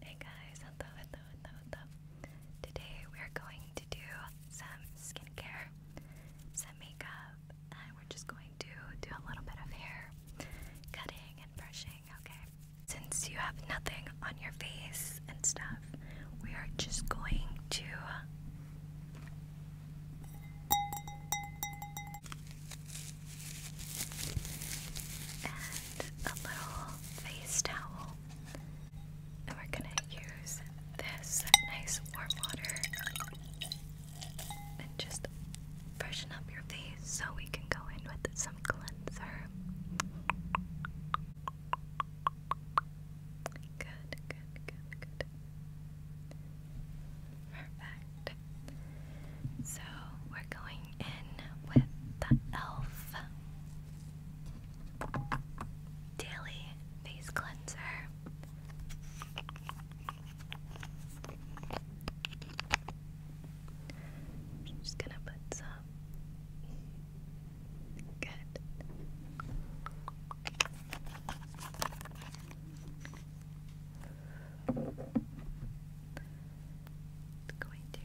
Hey guys, Today we're going to do some skincare, some makeup, and we're just going to do a little bit of hair cutting and brushing, okay? Since you have nothing on your face and stuff, we are just going to a little face towel. And we're gonna use this nice warm water and just freshen up your face so we can go in with some cleanser. Good, good, good, good. Perfect. So we're going in with the e.l.f. Daily Face Cleanser. just gonna put some. Good i going to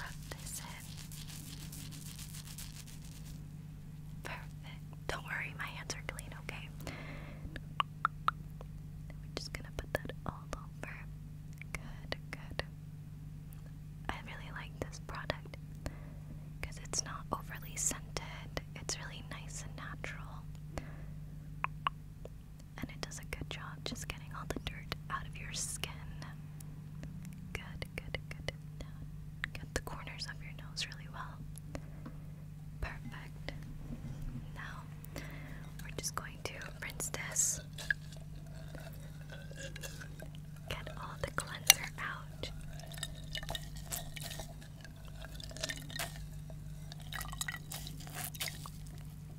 rub this in. Perfect. Don't worry, my hands are clean, okay? we're just gonna put that all over. Good, good. I really like this product because it's not overly scented, it's really nice and natural and it does a good job just getting all the dirt out of your skin. Good, good, good. get the corners of your nose really well. Perfect. Now we're just going to rinse this. Get all the cleanser out.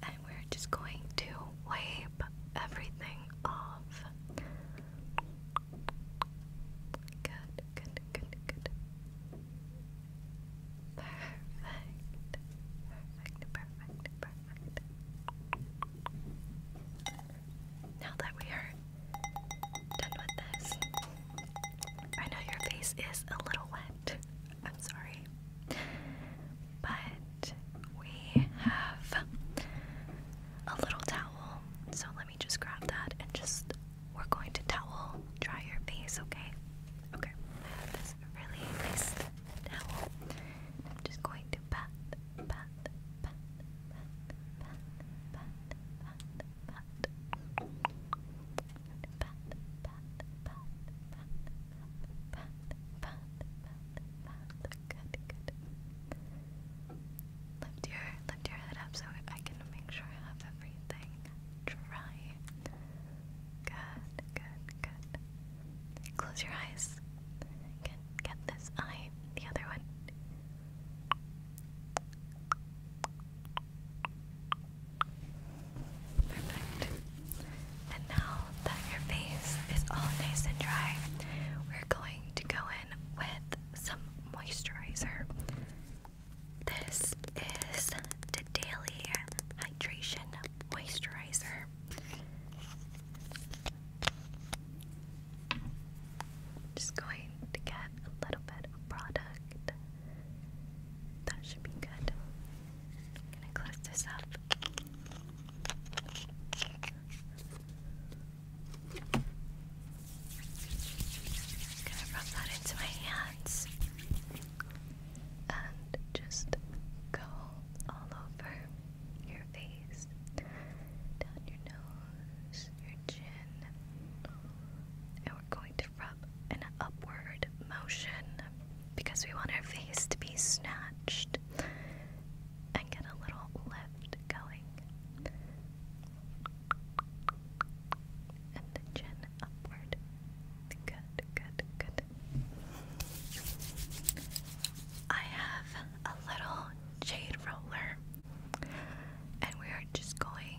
And we're just going to wipe everything off. Good, good, good, good. Perfect. Perfect, perfect, perfect. Now that we are done with this, I know your face is a little wet. I'm sorry. But we have a little towel. So let me just grab that and just we're going to towel dry your face, okay? Okay. I have this really nice towel. I'm just going to pat, pat, pat, pat, pat, pat, pat, pat. Lift your lift your head up so I can make sure I have everything dry. Good, good, good. Close your eyes. Get get this eye, the other one. Perfect. And now that your face is all nice and dry, we're going to go in with some moisturizer. This is the Daily Hydration Moisturizer. Just going to get a little bit of product. That should be good. I'm gonna close this up. gonna rub that into my hands and just go all over your face, down your nose, your chin. And we're going to from an upward motion because we want our face to be snatched and get a little lift going. And the chin upward. Good, good, good. I have a little jade roller, and we are just going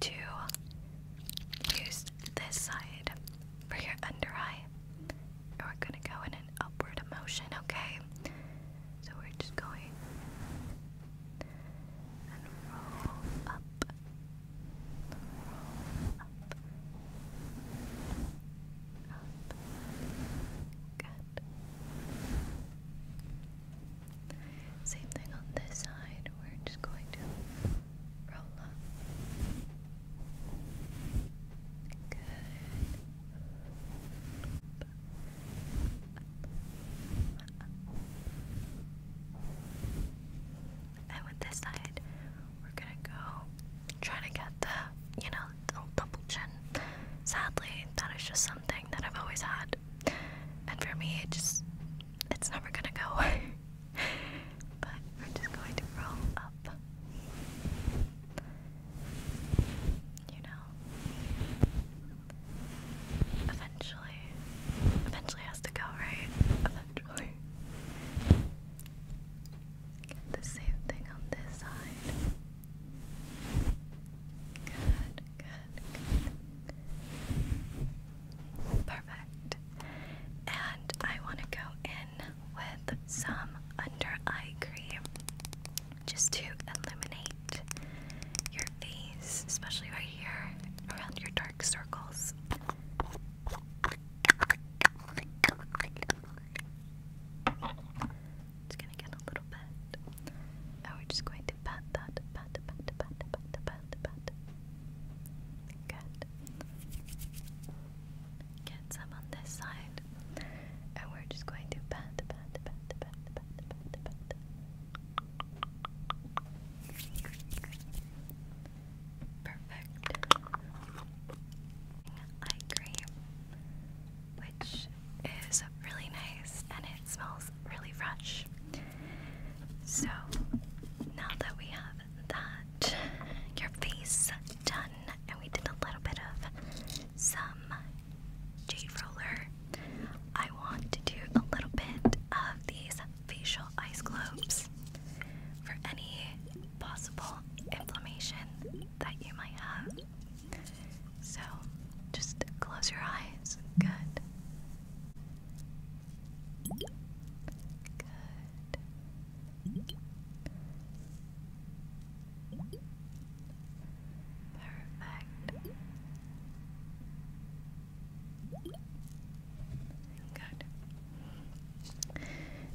to use this side for your under eye. we're gonna go in an upward motion, okay? So we're just going and roll up, roll up, up. Good. Same thing on this side. We're just going to roll up. Good. And with this side, we're gonna go try to get the, you know, the double chin. Sadly, that is just something that I've always had. And for me, it just, it's never gonna go away but we're just going to roll up. You know, eventually, eventually has to go, right? Eventually. Get the same thing on this side. Good, good, good. And I want to go in with some under eye cream just to illuminate your face, especially right here around your dark circles. It's gonna get a little bit. And we're just going to pat that, pat, pat, pat, pat, pat, pat, pat, Good. Get some on this side. And we're just going to pat, pat, pat, pat, pat, pat, pat. Perfect. Eye cream, which is really nice and it smells really fresh. So now that we have that your face done, and we did a little bit of some jade roller. I want to do a little bit of these facial ice globes for any possible inflammation that you might have. So just close your eyes. Good. Good. Perfect. Good.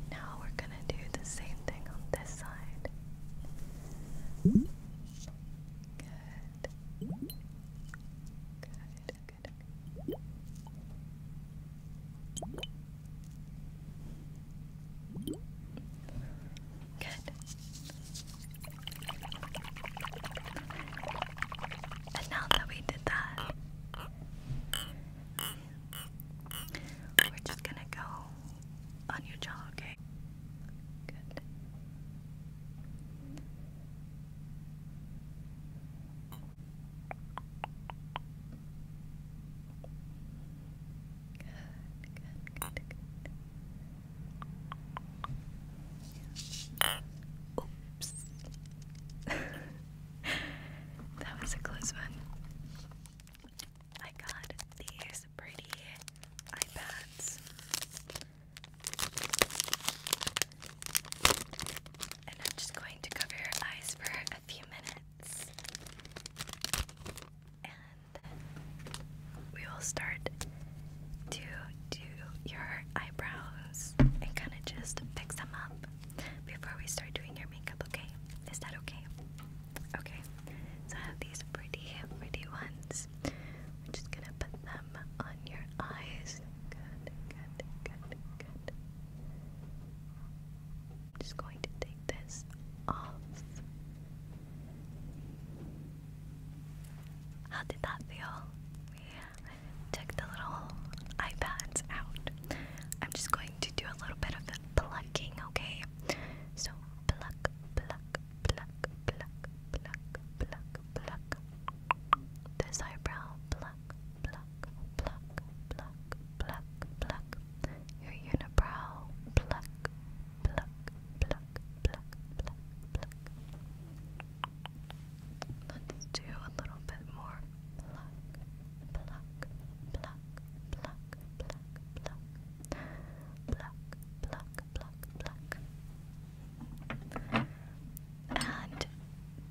Now we're going to do the same thing on this side. Good. Good good. Good. And now that we did that, we're just gonna go on your jaw, okay? Good good, good. Oops. that was a close one. I got these pretty iPads. And I'm just going to cover your eyes for a few minutes. And we will start to do your eyebrows and kind of just fix them up before we start doing your makeup, okay? Is that okay? Okay, so I have these pretty, pretty ones. I'm just gonna put them on your eyes. good, good, good. I'm just going to take this off. How did that feel? Check the little iPads out. I'm just going to do a little bit of plucking, okay? So pluck, pluck, pluck, pluck, pluck, pluck, pluck. This eyebrow, pluck, pluck, pluck, pluck, pluck, pluck. Your unibrow, pluck, pluck, pluck, pluck, pluck, pluck. Let's do a little bit more. Pluck, pluck, pluck, pluck, pluck, pluck. Pluck, pluck, pluck, pluck. And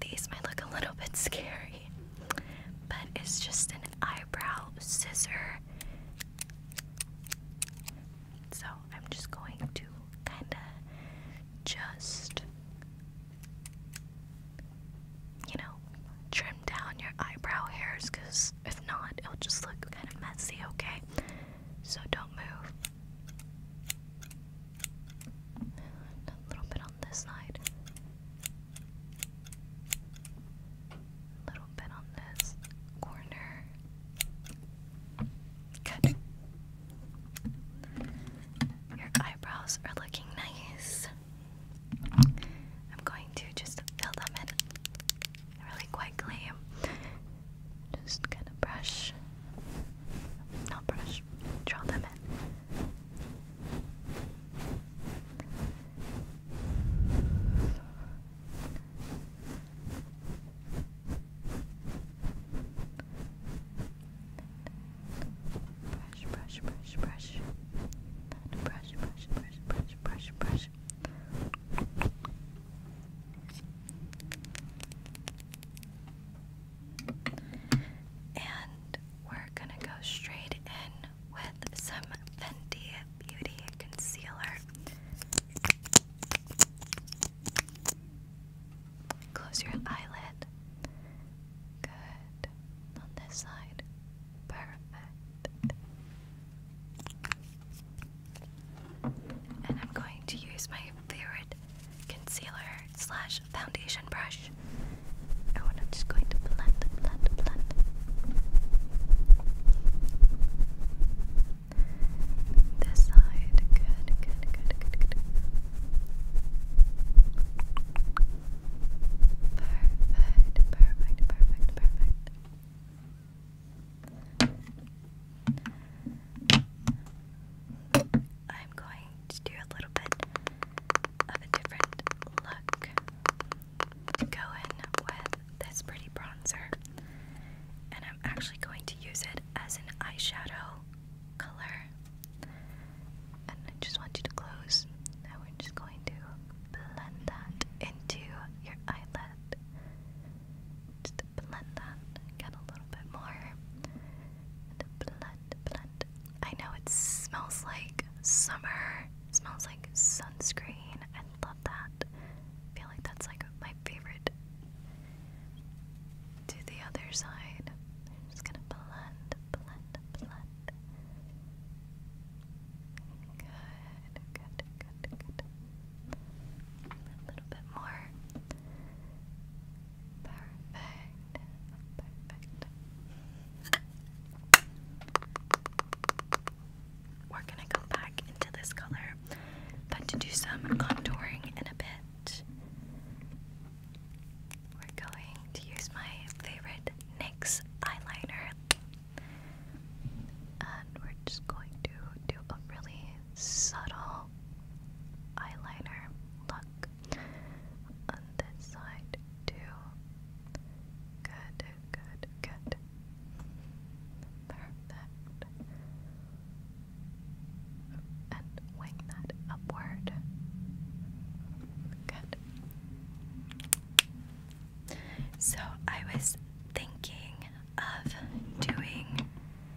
these might look a little bit scary, but it's just an eyebrow scissor. So I'm just going to kind of just, you know, trim down your eyebrow hairs because if not, it'll just look kind of messy, okay? So don't move a little bit on this side. A little bit on this corner. Good. Your eyebrows are looking nice. I'm going to just fill them in really quickly. Just gonna brush. Not brush draw them in. Brush, brush, brush, brush. Brush, brush, brush, brush, brush, brush. Brush, and we're gonna go straight in with some Fenty Beauty Concealer. Close your eyelid. Good. On this side. Perfect. And I'm going to use my favorite concealer slash foundation brush. And what i just going to blend, blend, blend. This side, good, good, good, good, good. Perfect, perfect, perfect, perfect. I'm going to do a little bit of a different look. Go with this pretty bronzer, and I'm actually going to use it as an eyeshadow color. And I just want you to close. Now we're just going to blend that into your eyelid. Just blend that, get a little bit more. And blend blend, I know it smells like summer. smells like sunscreen. I love that. I feel like that's like my favorite. To the other side. I'm just gonna blend, blend, blend. Good, good, good, good. A little bit more. Perfect. Perfect. We're gonna go back into this color, but to do some contouring in a bit. We're going to use my favorite NYX eyeliner. And we're just going to do a really subtle eyeliner look on this side too. Good, good, good. Perfect. And wing that upward. Good. So I was thinking of doing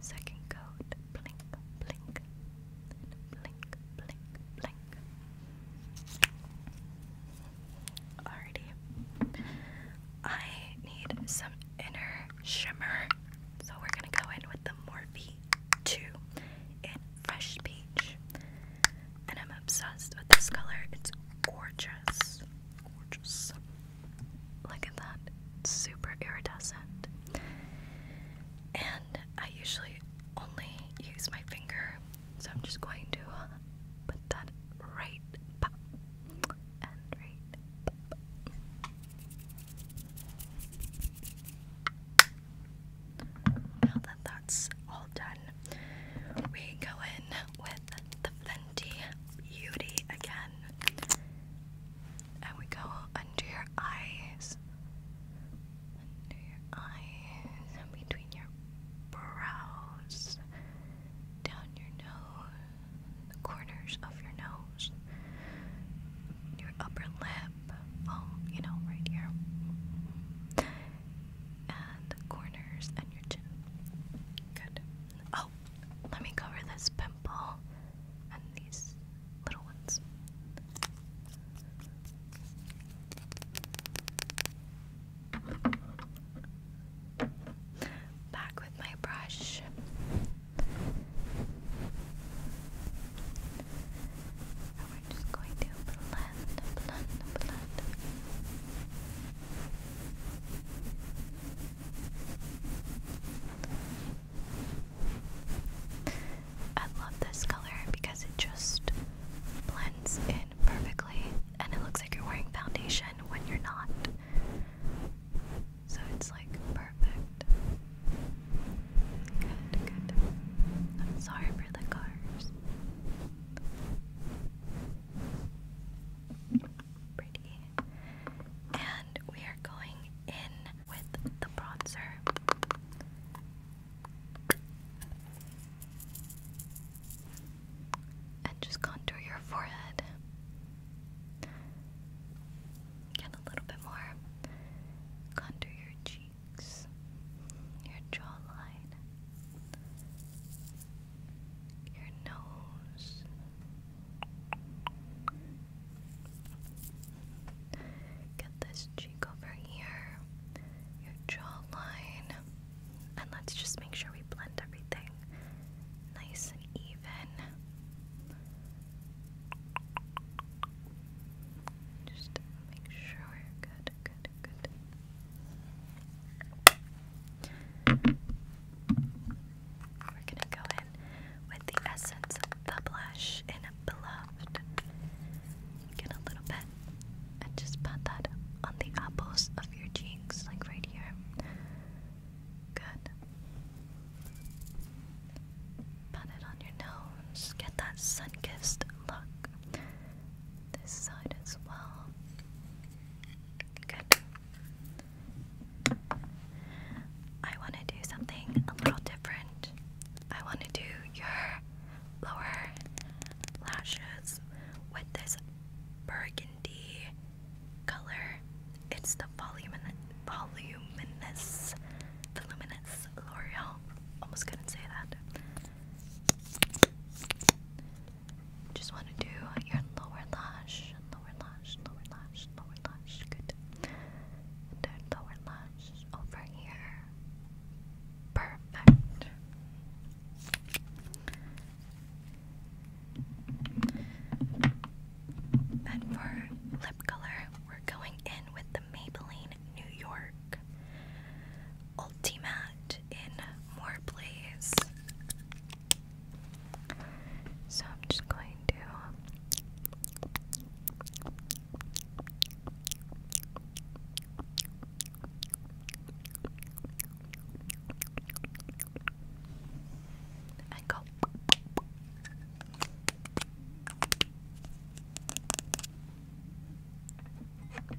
Second coat, blink, blink, blink, blink, blink. Alrighty. I need some inner shimmer, so we're gonna go in with the Morphe 2 in Fresh Peach. And I'm obsessed with this color, it's gorgeous. Gorgeous. Look at that. super iridescent. And I usually only use my finger, so I'm just going to uh, put that right up and right Now that that's all done, we go in with the Fenty Beauty again and we go under your eyes, under your eyes, between your brows, down your nose, the corners of your nose, your upper lip, well, you know, right here, and the corners and your chin. Good. Oh, let me cover this pimple and these little ones. Back with my brush. And we're just going to blend, blend, blend. I love this color because it just blends in perfectly and it looks like you're wearing foundation when you're not. So it's like perfect. Good, good. I'm sorry for the cars. Pretty and we are going in with the bronzer. And just contour your forehead. Get a little bit more. Contour your cheeks, your jawline, your nose, Get this cheek over here, your jawline, and let's just make sure we blend everything nice and even. Just make sure we're good, good, good. We're gonna go in with the essence of the blush in Beloved. Get a little bit and just pat that on the apples of your cheeks, like right here. Good. Pat it on your nose. Get that sun kissed look. This side as well. Good. I want to do something a little different. I want to do your lower lashes with this burgundy color. It's the Volume volumin voluminous, voluminous L'Oreal. Almost couldn't say that. Just want to do your lower lash, lower lash lower lash, lower lash, good. then lower lash over here. Perfect. And for lip color, we're going in with the Maybelline New York Ultimate in More Blaze. So I'm just going to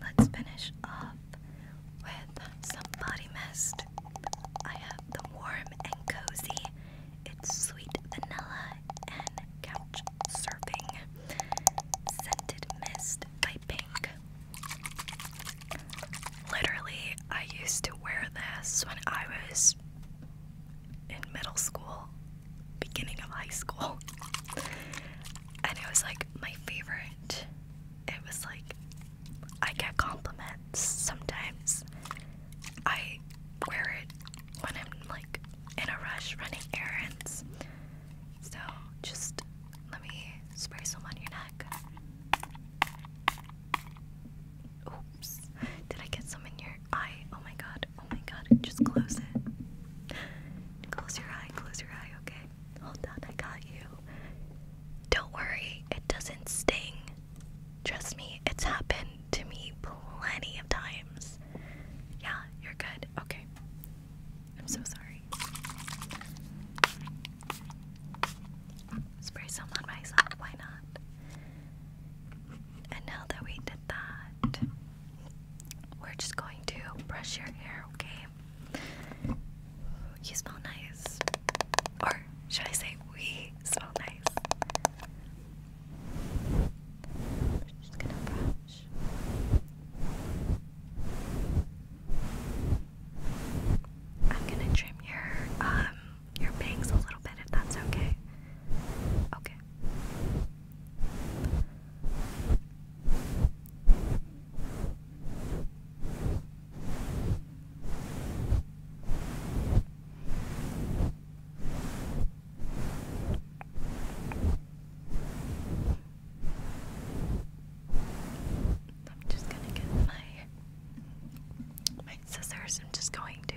Let's finish off with some body mist. I have the warm and cozy, it's sweet vanilla and couch surfing scented mist by Pink. Literally, I used to wear this when I was in middle school, beginning of high school, and it was like my favorite. It was like I get compliments sometimes. I wear it when I'm like in a rush running errands. So just let me spray some on your neck. Oops. Did I get some in your eye? Oh my god. Oh my god. Just close it. Close your eye. Close your eye. Okay. Hold on. I got you. Don't worry. It doesn't sting. Trust me, it's happened to me plenty of times. Yeah, you're good. Okay. I'm so sorry. Spray some on myself, why not? And now that we did that, we're just going to brush your hair, okay? You smell nice. Or should I say we smell nice. I'm just gonna brush. I'm gonna trim your um your bangs a little bit if that's Okay. Okay. I'm just gonna get my my scissors. I'm just going to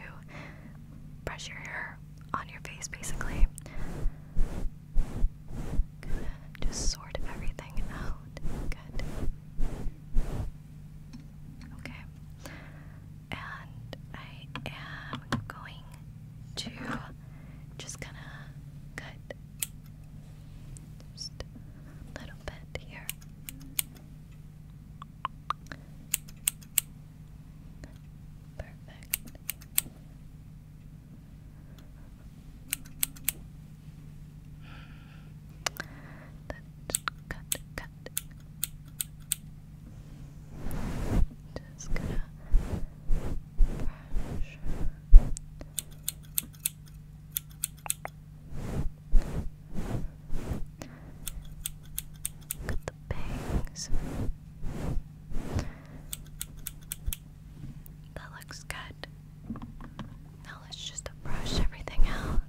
brush your hair on your face, basically. just sort everything out. Good. Okay. And I am going to just kind of cut just a little bit here. Perfect. Cut the bangs. That looks good. Now let's just brush everything out.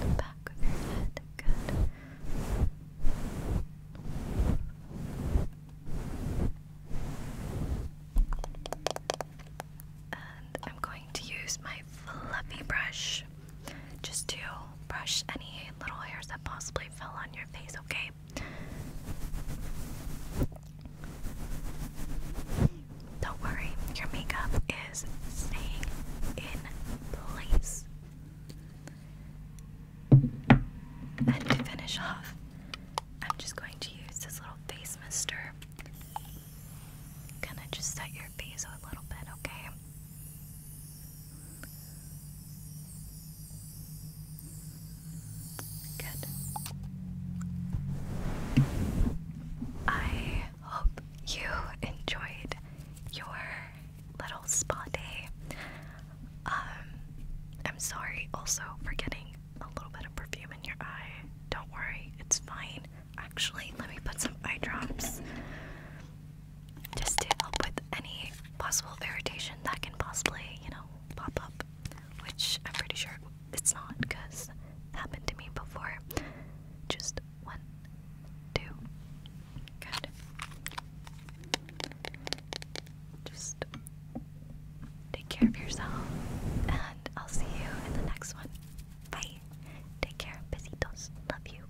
The back of your head, good. And I'm going to use my fluffy brush just to brush any little hairs that possibly fell on your face, okay? Don't worry, your makeup is staying in place. And to finish off, I'm just going to use this little face mister. Gonna just set your face a little bit, okay? Good. I hope you enjoyed your little spa day. Um, I'm sorry also for getting a little bit of perfume in your eye. Don't worry, it's fine. Actually, let me put some eye drops just to help with any possible irritation that can possibly, you know, pop up. Which I'm pretty sure it's not because it happened to me before. Just one, two. Good. Just take care of yourself, and I'll see you in the next one. Bye. Take care. Besitos. Love you.